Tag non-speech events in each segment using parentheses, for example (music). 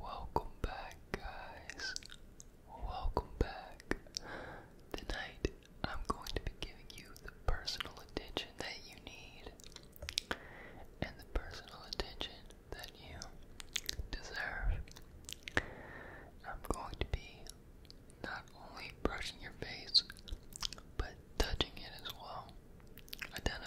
Welcome back, guys. Welcome back. Tonight, I'm going to be giving you the personal attention that you need and the personal attention that you deserve. I'm going to be not only brushing your face, but touching it as well. I done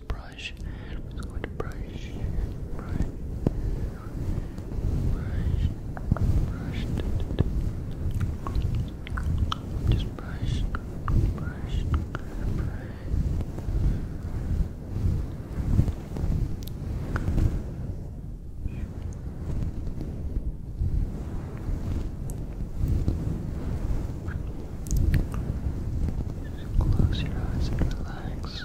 just brush. I'm just going to brush, brush, brush, brush. Just brush, brush, brush. Just close your eyes and relax.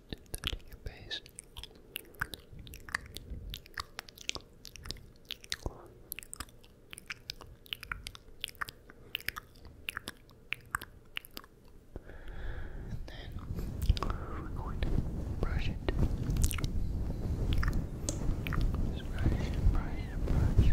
and touching your then we're going to brush it. brush brush brush.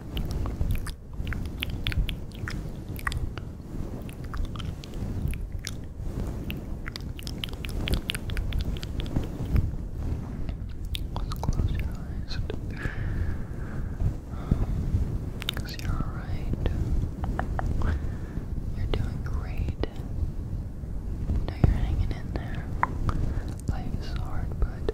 Let's close your eyes. Um, Cause you're alright. You're doing great. You you're hanging in there. Life is hard, but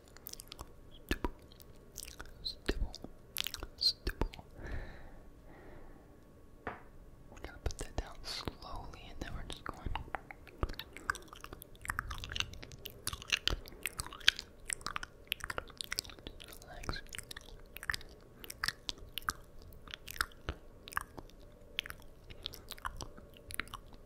Stipple. Stipple. Stipple. We're gonna put that down slowly and then we're just going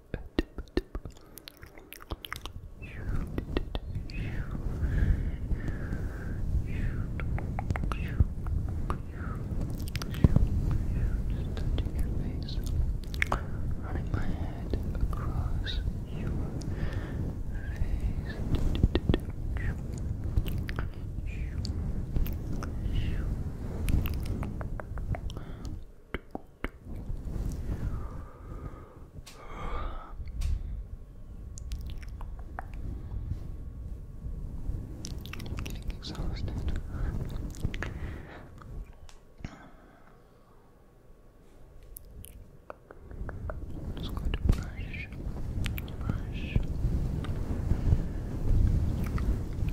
Just touching your face, running my head across your face. Just I'm getting exhausted. I'm just going to brush, brush,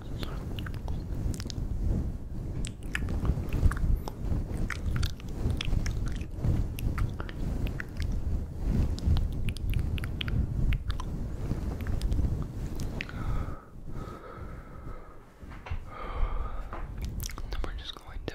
Then we're just going to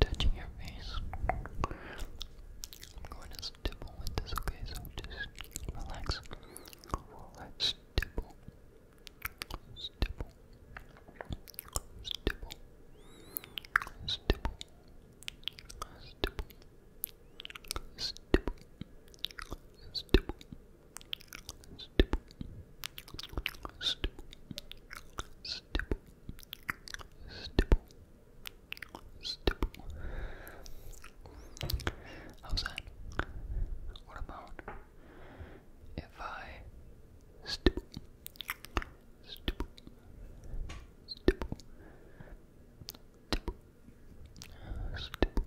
touching your face. I'm going to stipple with this, okay? So just relax. stipple. Stipple. Stipple. Stipple. Stipple. Stipple. Stipple. Stipple. Stipple. Stipple. Stipple. Stipple. How's that? What about if I stipple, stipple, stipple, stipple, stipple,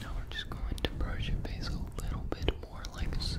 Now we're just going to brush your face a little bit more, like so.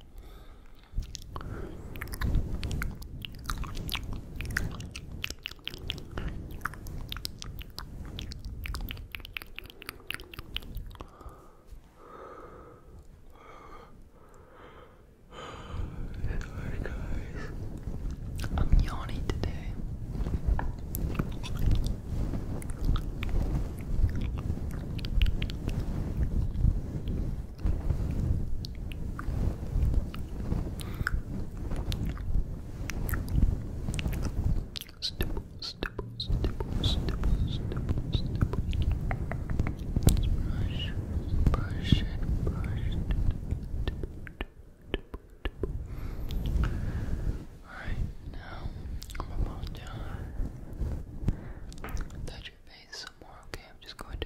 Sorry guys, I'm yawning today. Stipple, stipple, stipple, stipple, stipple, stipple. Brush, brush it, brush it. Tip, tip, tip, tip. Alright, now I'm almost done. Touch your face some more, okay? I'm just going to.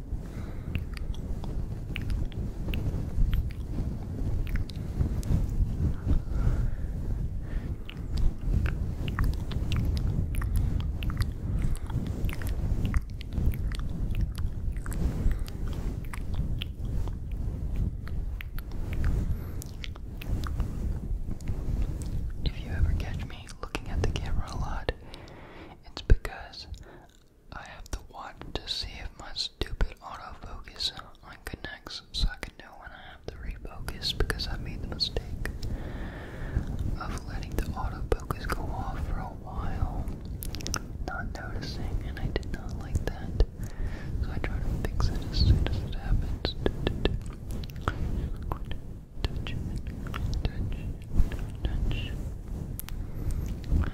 If you ever catch me looking at the camera a lot, it's because I have to watch to see if my stupid autofocus unconnects so I can know when I have to refocus because I made the mistake of letting the autofocus go off for a while, not noticing, and I did not like that. So I try to fix it as soon as it happens touch touch touch Now,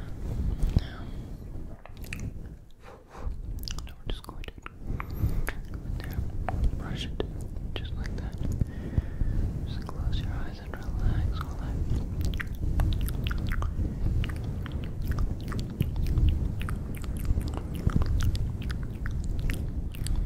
now we just going to there, brush it, just like that. Just close your eyes and relax.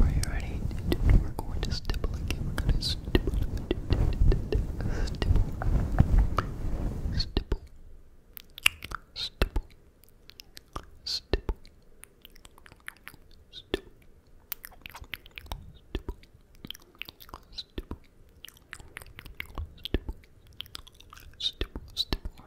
Are you ready? We're going to stipple again. We're going to stipple. Stipple. Stipple. Stipple. Stipple. Stipple. Stipple. Stipple. Stipple. Stipple.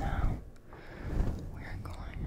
Now we are going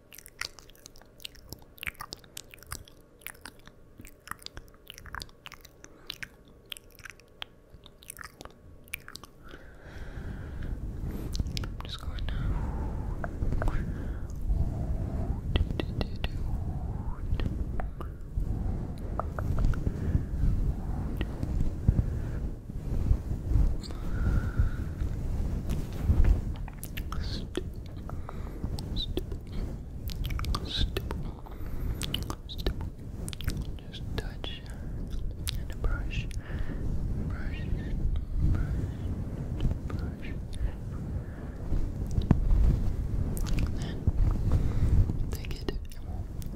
I'm just going to Step. Step. Step. Step. Just touch and brush. Brush. Brush. Brush. And then take it. And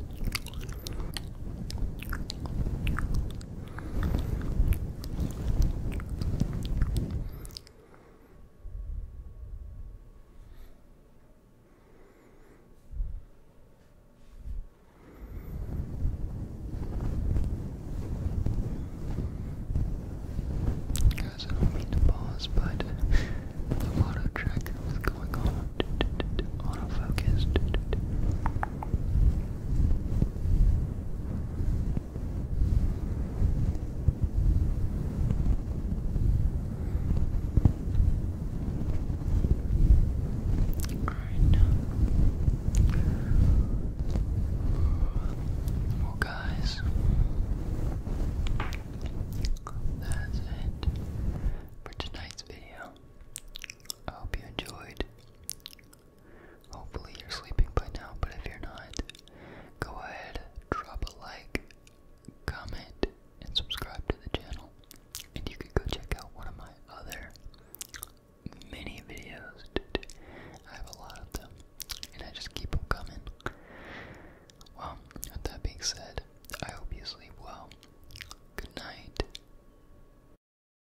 Guys, I don't mean to pause, but the auto track was going on. (laughs) Auto focused. Well, guys, that's it for tonight's video. I hope you enjoyed. Hopefully you're sleeping by now, but if you're not, go ahead, drop a like, comment, and subscribe to the channel. And you can go check out one of my other mini videos. I have a lot of them, and I just keep them coming. Well, with that being said, I hope you sleep well. Good night.